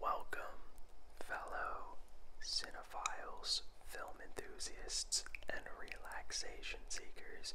Welcome, fellow cinephiles, film enthusiasts, and relaxation seekers.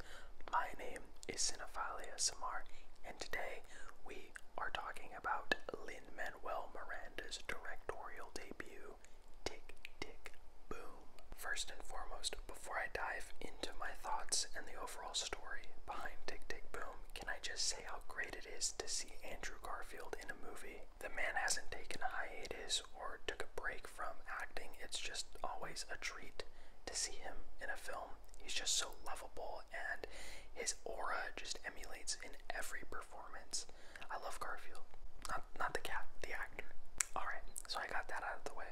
My name is Cinephilia Samar, and today we are talking about Lin Manuel Miranda's directorial debut, Tick Tick Boom. First and foremost, before I dive into my thoughts and the overall story behind Tick Tick Boom, can I just say? how great it is to see Andrew Garfield in a movie. The man hasn't taken a hiatus or took a break from acting. It's just always a treat to see him in a film. He's just so lovable and his aura just emulates in every performance. I love Garfield. Not not the cat, the actor. Alright, so I got that out of the way.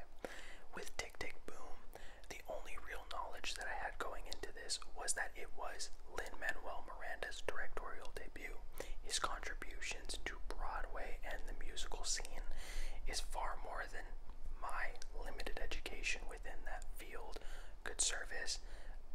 With Tick Tick Boom, the only real knowledge that I had going into this was that it was Lin Manuel Miranda's directorial debut. His contributions to Broadway and the musical scene is far more than my limited education within that field could service,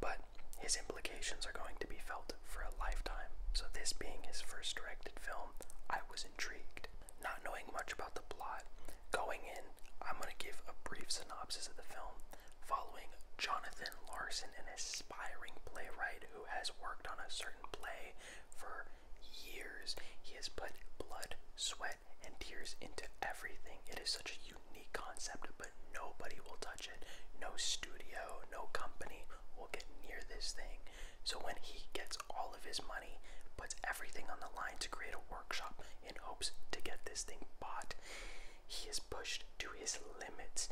but his implications are going to be felt for a lifetime. So, this being his first directed film, I was intrigued. Not knowing much about the plot, going in I'm going to give a brief synopsis of the film following Jonathan Larson, an aspiring playwright who has worked on a certain play for years. He has put blood, sweat, and tears into everything. It is such a unique concept, but nobody will touch it. No studio, no company will get near this thing. So when he gets all of his money, puts everything on the line to create a workshop in hopes to get this thing bought. He is pushed to his limits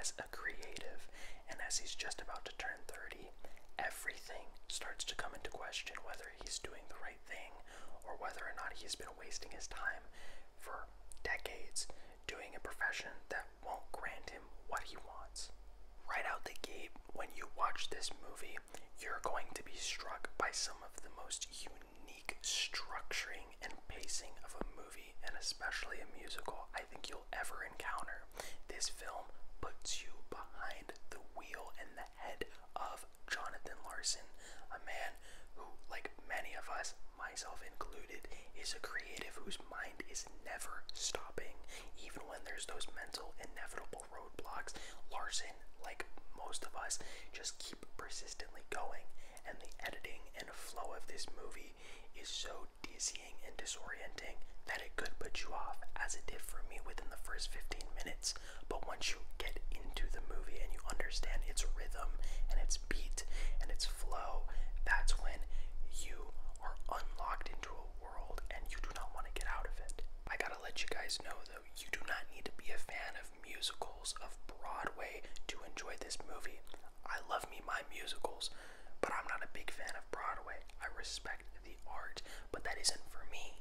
as a creative, and as he's just about to turn 30, everything starts to come into question whether he's doing the right thing or whether or not he's been wasting his time for decades doing a profession that won't grant him what he wants. Right out the gate, when you watch this movie, you're going to be struck by some of the most unique unique structuring and pacing of a movie, and especially a musical, I think you'll ever encounter. This film puts you behind the wheel and the head of Jonathan Larson, a man who, like many of us, myself included, is a creative whose mind is never stopping, even when there's those mental inevitable roadblocks. Larson, like most of us, just keep persistently going, and the editing and flow of this movie is so dizzying and disorienting that it could put you off, as it did for me within the first 15 minutes. But once you get into the movie and you understand its rhythm and its beat and its flow, that's when you are unlocked into a world and you do not want to get out of it. I gotta let you guys know you do not need to be a fan of musicals of Broadway to enjoy this movie. I love me my musicals, but I'm not a big fan of Broadway. I respect the art, but that isn't for me.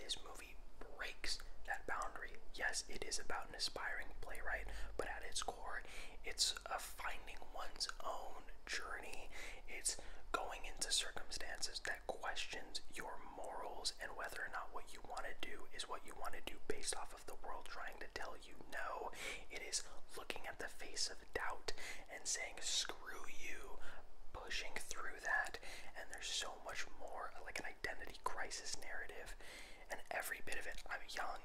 This movie breaks that boundary. Yes, it is about an aspiring playwright, but at its core, it's a finding one's own journey. It's going into circumstances that questions your morals and whether or not what you want to do is what you want to do based off of the world trying to tell you no. It is looking at the face of doubt and saying, screw you, pushing through that. And there's so much more like an identity crisis narrative. And every bit of it, I'm young,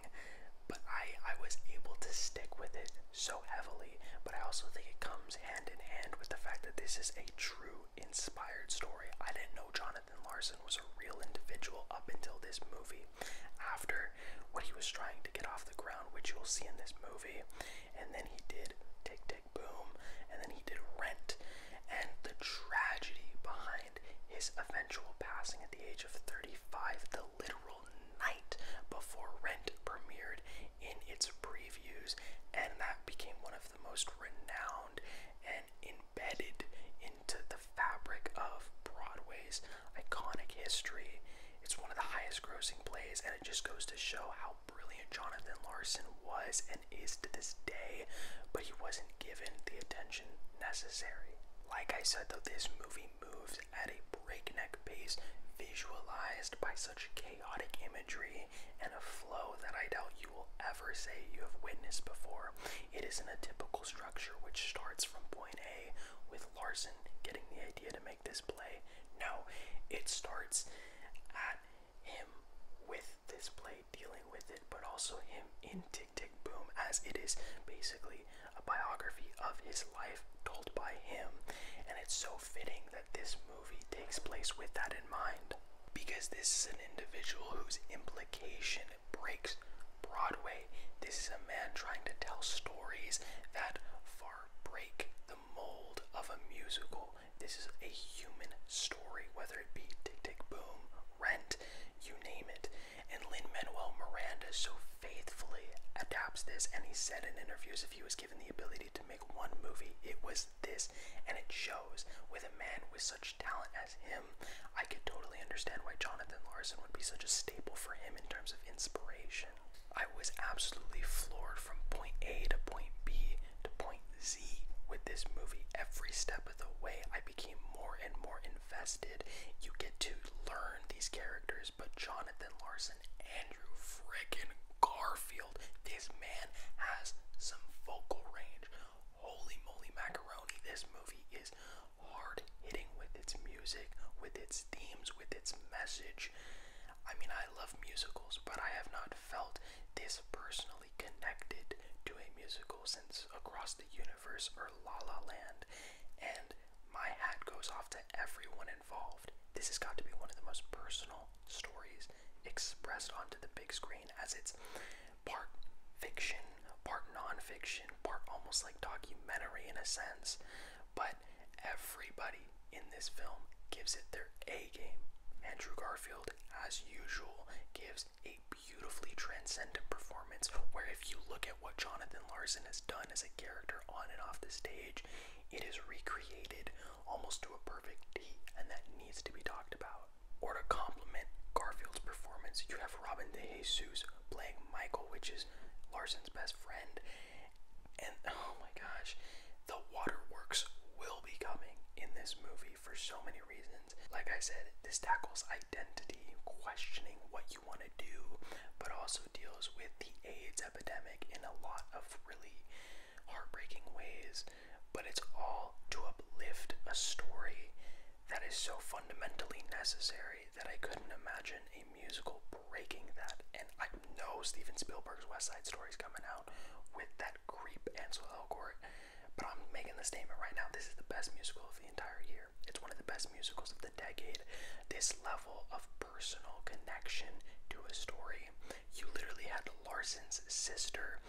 but I, I was able to stick with it so heavily. But I also think it comes hand in hand with the fact that this is a true inspired story. I didn't know Jonathan Larson was a real individual up until this movie. After what he was trying to get off the ground, which you'll see in this movie, and then he did Tick Tick Boom, and then he did Rent, and the tragedy behind his eventual passing at the age of 35, the literal night before Rent premiered in its previews, and that became one of the most renowned and embedded into the fabric of Broadway's iconic history. It's one of the highest grossing plays, and it just goes to show how brilliant Jonathan Larson was and is to this day, but he wasn't given the attention necessary. Like I said, though, this movie moves at a breakneck pace, visualized by such chaotic imagery and a flow that I doubt you will ever say you have witnessed before. It isn't a typical structure which starts from point A with Larson getting the idea to make this play. No, it starts at him with this play, dealing with it, but also him in Tick Tick Boom, as it is basically a biography of his life told by him. And it's so fitting that this movie takes place with that in mind. Because this is an individual whose implication breaks Broadway. This is a man trying to tell stories that far break the mold of a musical. This is a human story, whether it be Tick Tick Boom, Rent, you name it. And Lin Manuel Miranda so faithfully adapts this, and he said in interviews if he was given the ability to make one movie, it was this and it shows with a man with such talent as him. I could totally understand why Jonathan Larson would be such a staple for him in terms of inspiration. I was absolutely floored from point A to point B to point Z with this movie. Every step of the way, I became more and more invested. You get to learn these characters, but Jonathan Larson Andrew frickin' Garfield. This man has some vocal range. Holy moly macaroni. This movie is hard hitting with its music, with its themes, with its message. I mean, I love musicals, but I have not felt this personally connected to a musical since Across the Universe or La La Land. And my hat goes off to everyone this has got to be one of the most personal stories expressed onto the big screen as it's part fiction, part non-fiction, part almost like documentary in a sense. But everybody in this film gives it their A game. Andrew Garfield, as usual, gives a beautifully transcendent performance where if you look at what Jonathan Larson has done as a character on and off the stage, it is recreated almost to a perfect T, and that needs to be talked about. Or to complement Garfield's performance, you have Robin de Jesus playing Michael, which is Larson's best friend. And oh my gosh, the waterworks will be coming in this movie for so many reasons. Like I said, this tackles identity, questioning what you want to do, but also deals with the AIDS epidemic in a lot of really heartbreaking ways, but it's all to uplift a story that is so fundamentally necessary that I couldn't imagine a musical breaking that. And I know Steven Spielberg's West Side Story is coming out with that creep Ansel Elgort, but I'm making the statement right now this is the best musical of the entire year. It's one of the best musicals of the decade. This level of personal connection to a story. You literally had Larson's sister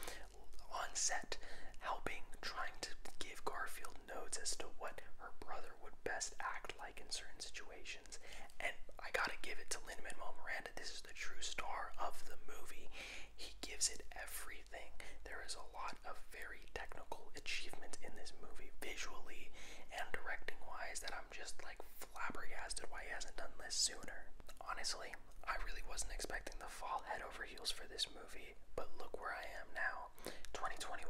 on set helping, trying to give Garfield notes as to what her brother would best act like in certain situations. And I gotta give it to Lin Manuel Miranda. This is the true star of the movie. He gives it everything. There is a lot of very technical achievement in this movie, visually and directing wise, that I'm just like flabbergasted why he hasn't done this sooner. Honestly, I really wasn't expecting to fall head over heels for this movie, but look where I am now. 2021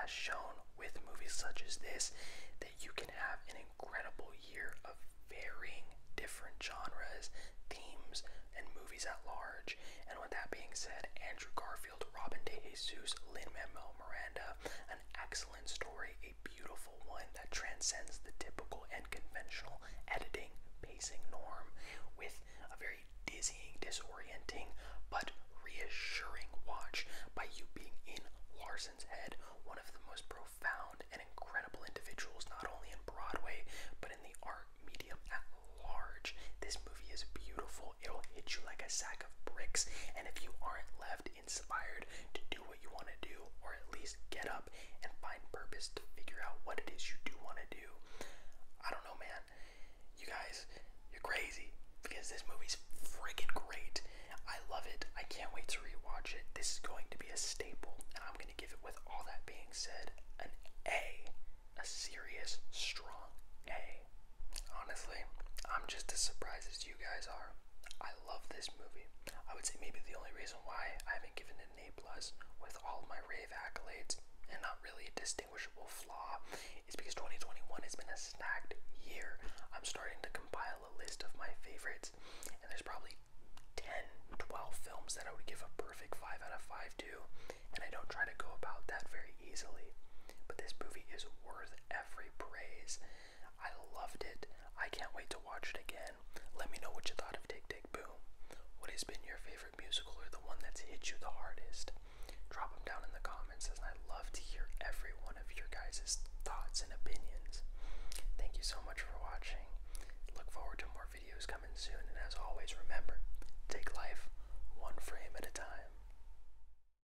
has shown with movies such as this that you can have an incredible year of varying different genres, themes, and movies at large. And with that being said, Andrew Garfield, Robin Jesus, Lin Manuel Miranda, an excellent story, a beautiful one that transcends the typical and conventional editing pacing norm with a very dizzying, disorienting, but reassuring watch by you being in Larson's head, one of the most profound and incredible individuals, not only in Broadway, but in the art medium at large. This movie is beautiful, it'll hit you like a sack of bricks, and if you aren't left inspired to do what you want to do, or at least get up and find purpose to figure out what it is you do want to do. I don't know, man. You guys, you're crazy because this movie's freaking great. I love it. I can't wait to rewatch it. This is going to be a staple, and I'm going to give it, with all that being said, an A. A serious, strong A. Honestly, I'm just as surprised as you guys are. I love this movie. I would say maybe the only reason why I haven't given it an A plus with all my rave accolades and not really a distinguishable flaw is because 2021 has been a snagged year. I'm starting to compile a list of my favorites, and there's probably 10, 12 films that I would give a perfect 5 out of 5 to, and I don't try to go about that very easily. But this movie is worth every praise. I loved it. I can't wait to watch it again. Let me know what you thought of Tick Tick Boom. What has been your favorite musical or the one that's hit you the hardest? Drop them down in the comments as I love to hear every one of your guys' thoughts and opinions. Thank you so much for watching. Look forward to more videos coming soon and as always remember, take life one frame at a time.